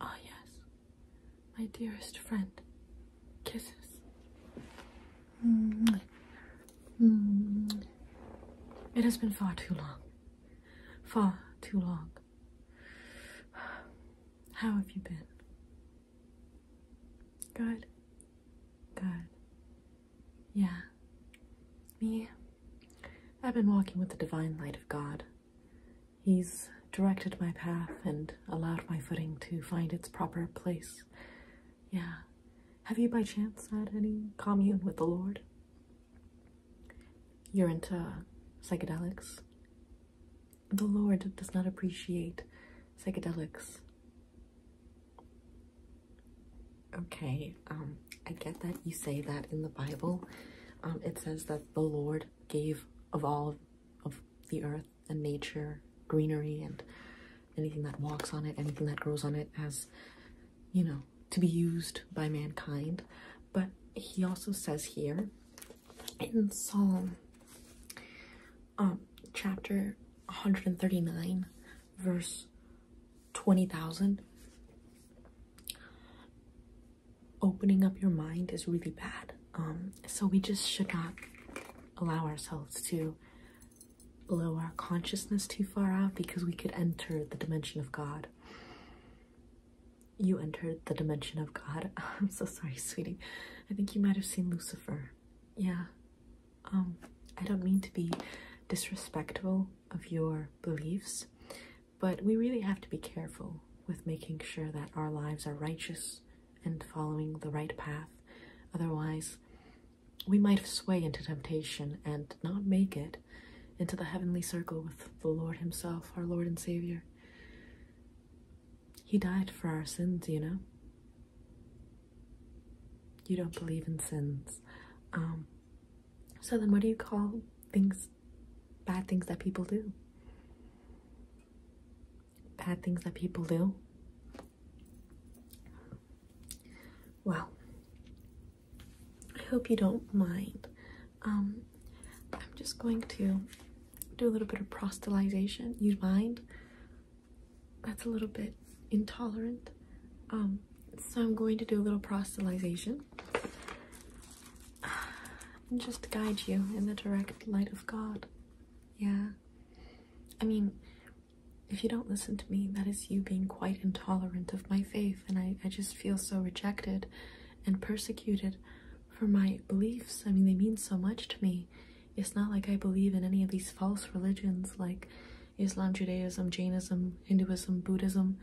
Ah, yes, my dearest friend. Kisses. It has been far too long. Far too long. How have you been? Good. Good. Yeah. Me? I've been walking with the divine light of God. He's directed my path and allowed my footing to find its proper place. Yeah. Have you by chance had any commune with the Lord? You're into psychedelics? The Lord does not appreciate psychedelics. Okay, um, I get that you say that in the Bible, um, it says that the Lord gave of all of the earth and nature greenery and anything that walks on it, anything that grows on it, as you know, to be used by mankind. But he also says here in Psalm um, chapter 139, verse 20,000, opening up your mind is really bad. Um, so we just should not allow ourselves to blow our consciousness too far out because we could enter the dimension of God. You entered the dimension of God. I'm so sorry, sweetie. I think you might have seen Lucifer. Yeah. Um, I don't mean to be disrespectful of your beliefs, but we really have to be careful with making sure that our lives are righteous and following the right path. Otherwise, we might sway into temptation and not make it into the heavenly circle with the Lord Himself, our Lord and Savior. He died for our sins, you know. You don't believe in sins. Um, so then what do you call things bad things that people do? Bad things that people do? Well, I hope you don't mind. Um, I'm just going to do a little bit of prostalization. you mind? That's a little bit intolerant. Um, so I'm going to do a little proselytization and just guide you in the direct light of God. Yeah. I mean, if you don't listen to me, that is you being quite intolerant of my faith, and I, I just feel so rejected and persecuted for my beliefs. I mean, they mean so much to me. It's not like I believe in any of these false religions like Islam, Judaism, Jainism, Hinduism, Buddhism.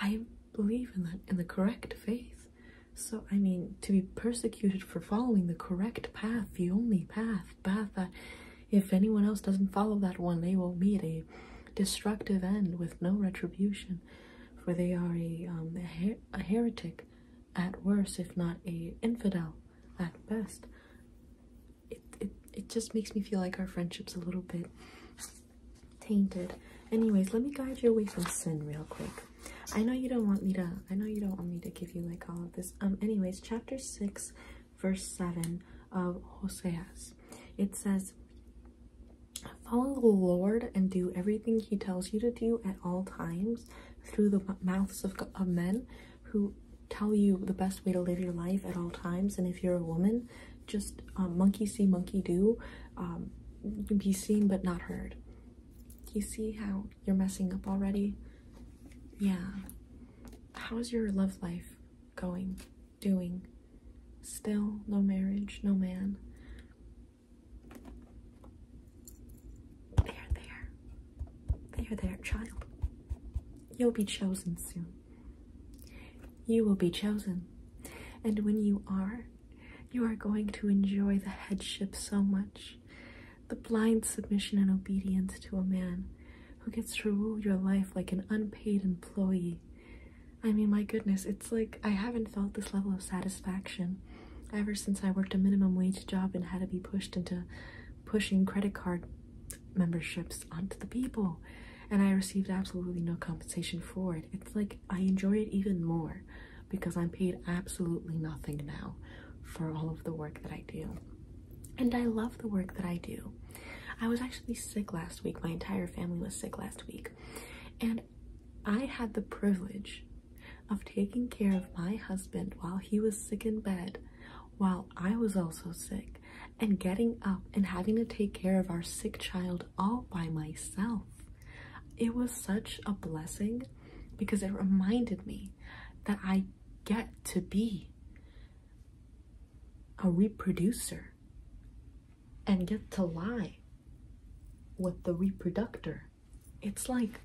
I believe in the, in the correct faith. So, I mean, to be persecuted for following the correct path, the only path, path that if anyone else doesn't follow that one, they will meet a destructive end with no retribution, for they are a, um, a, heretic at worst, if not a infidel at best it, it it just makes me feel like our friendship's a little bit tainted. Anyways, let me guide you away from sin real quick. I know you don't want me to I know you don't want me to give you like all of this. Um anyways, chapter 6 verse 7 of Hoseas. It says Follow the Lord and do everything he tells you to do at all times through the mouths of, of men who tell you the best way to live your life at all times. And if you're a woman, just um, monkey see, monkey do. Um, be seen but not heard. You see how you're messing up already? Yeah. How's your love life going? Doing? Still no marriage, no man. There, there. There, there, child. You'll be chosen soon. You will be chosen. And when you are, you are going to enjoy the headship so much, the blind submission and obedience to a man who gets to rule your life like an unpaid employee. I mean, my goodness, it's like I haven't felt this level of satisfaction ever since I worked a minimum wage job and had to be pushed into pushing credit card memberships onto the people and I received absolutely no compensation for it. It's like I enjoy it even more because I'm paid absolutely nothing now for all of the work that I do. And I love the work that I do. I was actually sick last week. My entire family was sick last week. And I had the privilege of taking care of my husband while he was sick in bed while I was also sick and getting up and having to take care of our sick child all by myself. It was such a blessing because it reminded me that I get to be a reproducer and get to lie with the reproductor. It's like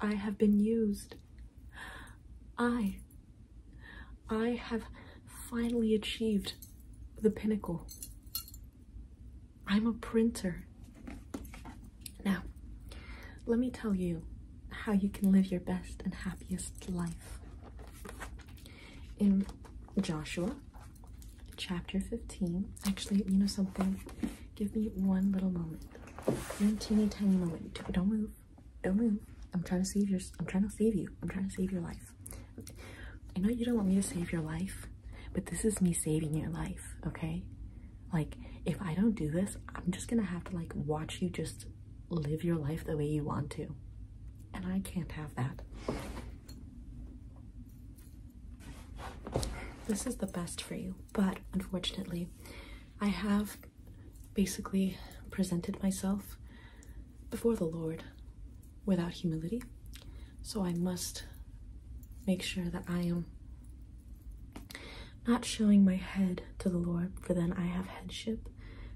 I have been used. I, I have finally achieved the pinnacle. I'm a printer. Now, let me tell you how you can live your best and happiest life. In Joshua chapter 15, actually, you know something? Give me one little moment. One teeny tiny moment. Don't move. Don't move. I'm trying to save your. I'm trying to save you. I'm trying to save your life. I know you don't want me to save your life, but this is me saving your life. Okay. Like, if I don't do this, I'm just gonna have to like watch you just live your life the way you want to. And I can't have that. This is the best for you but unfortunately, I have basically presented myself before the Lord without humility. So I must make sure that I am not showing my head to the Lord, for then I have headship.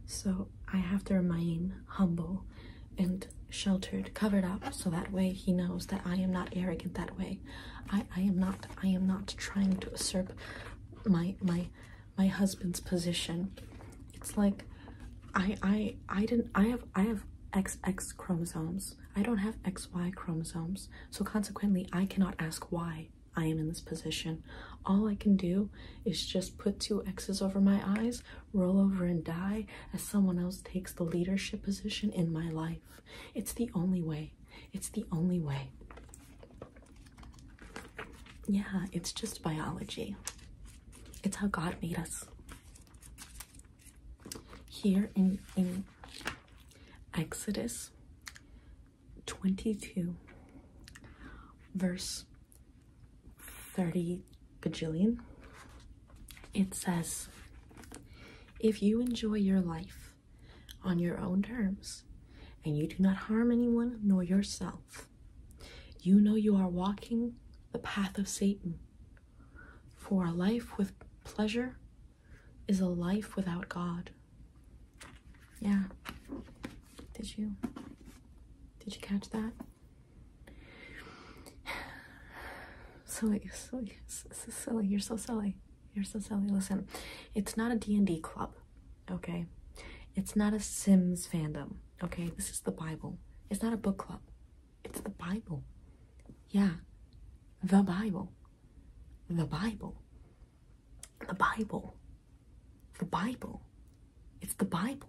So I have to remain humble and sheltered, covered up, so that way He knows that I am not arrogant that way i am not i am not trying to usurp my my my husband's position it's like i i i didn't i have i have xx chromosomes i don't have xy chromosomes so consequently i cannot ask why i am in this position all i can do is just put two x's over my eyes roll over and die as someone else takes the leadership position in my life it's the only way. It's the only way. Yeah, it's just biology. It's how God made us. Here in, in Exodus 22, verse 30 bajillion, it says, if you enjoy your life on your own terms and you do not harm anyone nor yourself, you know you are walking the path of Satan. For a life with pleasure is a life without God. Yeah. Did you? Did you catch that? silly, silly, silly. You're so silly. You're so silly. Listen, it's not a D&D club, okay? It's not a Sims fandom, okay? This is the Bible. It's not a book club. It's the Bible. Yeah, the Bible. The Bible. The Bible. The Bible. It's the Bible.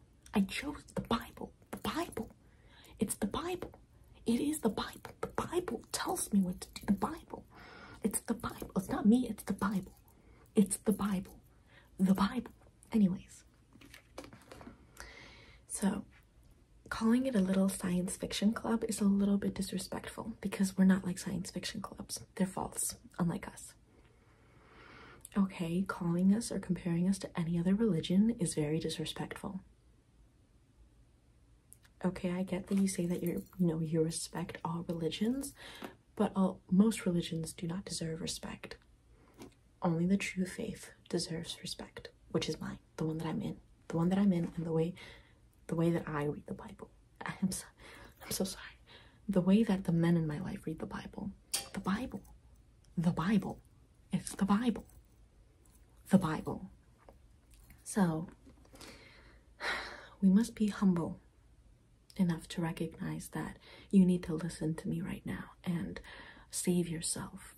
I chose the Bible. The Bible. It's the Bible. It is the Bible. The Bible tells me what to do. The Bible. It's the Bible. It's not me, it's the Bible. It's the Bible. The Bible. Anyways. So, calling it a little science fiction club is a little bit disrespectful because we're not like science fiction clubs. They're false, unlike us. Okay, calling us or comparing us to any other religion is very disrespectful. Okay, I get that you say that you're, you know, you respect all religions, but all, most religions do not deserve respect. Only the true faith deserves respect, which is mine, the one that I'm in, the one that I'm in, and the way, the way that I read the Bible. I'm so, I'm so sorry. The way that the men in my life read the Bible, the Bible, the Bible, it's the Bible, the Bible. So, we must be humble enough to recognize that you need to listen to me right now and save yourself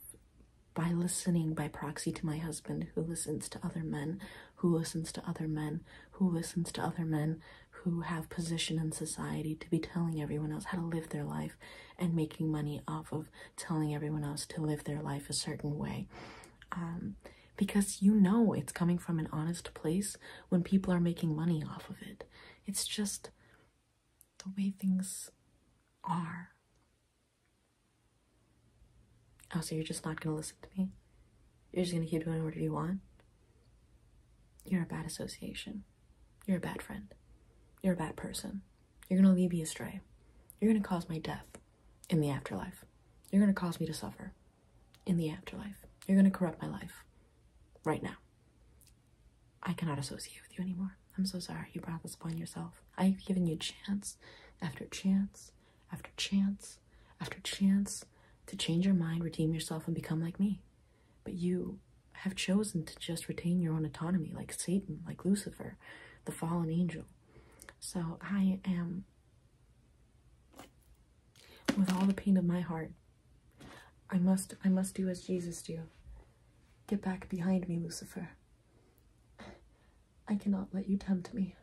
by listening by proxy to my husband who listens to other men, who listens to other men, who listens to other men, who have position in society to be telling everyone else how to live their life and making money off of telling everyone else to live their life a certain way. Um, because you know it's coming from an honest place when people are making money off of it. It's just the way things are. Oh, so you're just not gonna listen to me? You're just gonna keep doing whatever you want. You're a bad association. You're a bad friend. You're a bad person. You're gonna lead me astray. You're gonna cause my death in the afterlife. You're gonna cause me to suffer in the afterlife. You're gonna corrupt my life right now. I cannot associate with you anymore. I'm so sorry you brought this upon yourself. I've given you chance after chance after chance after chance to change your mind, redeem yourself, and become like me. But you have chosen to just retain your own autonomy, like Satan, like Lucifer, the fallen angel. So I am, with all the pain of my heart, I must, I must do as Jesus did. Get back behind me, Lucifer. I cannot let you tempt me.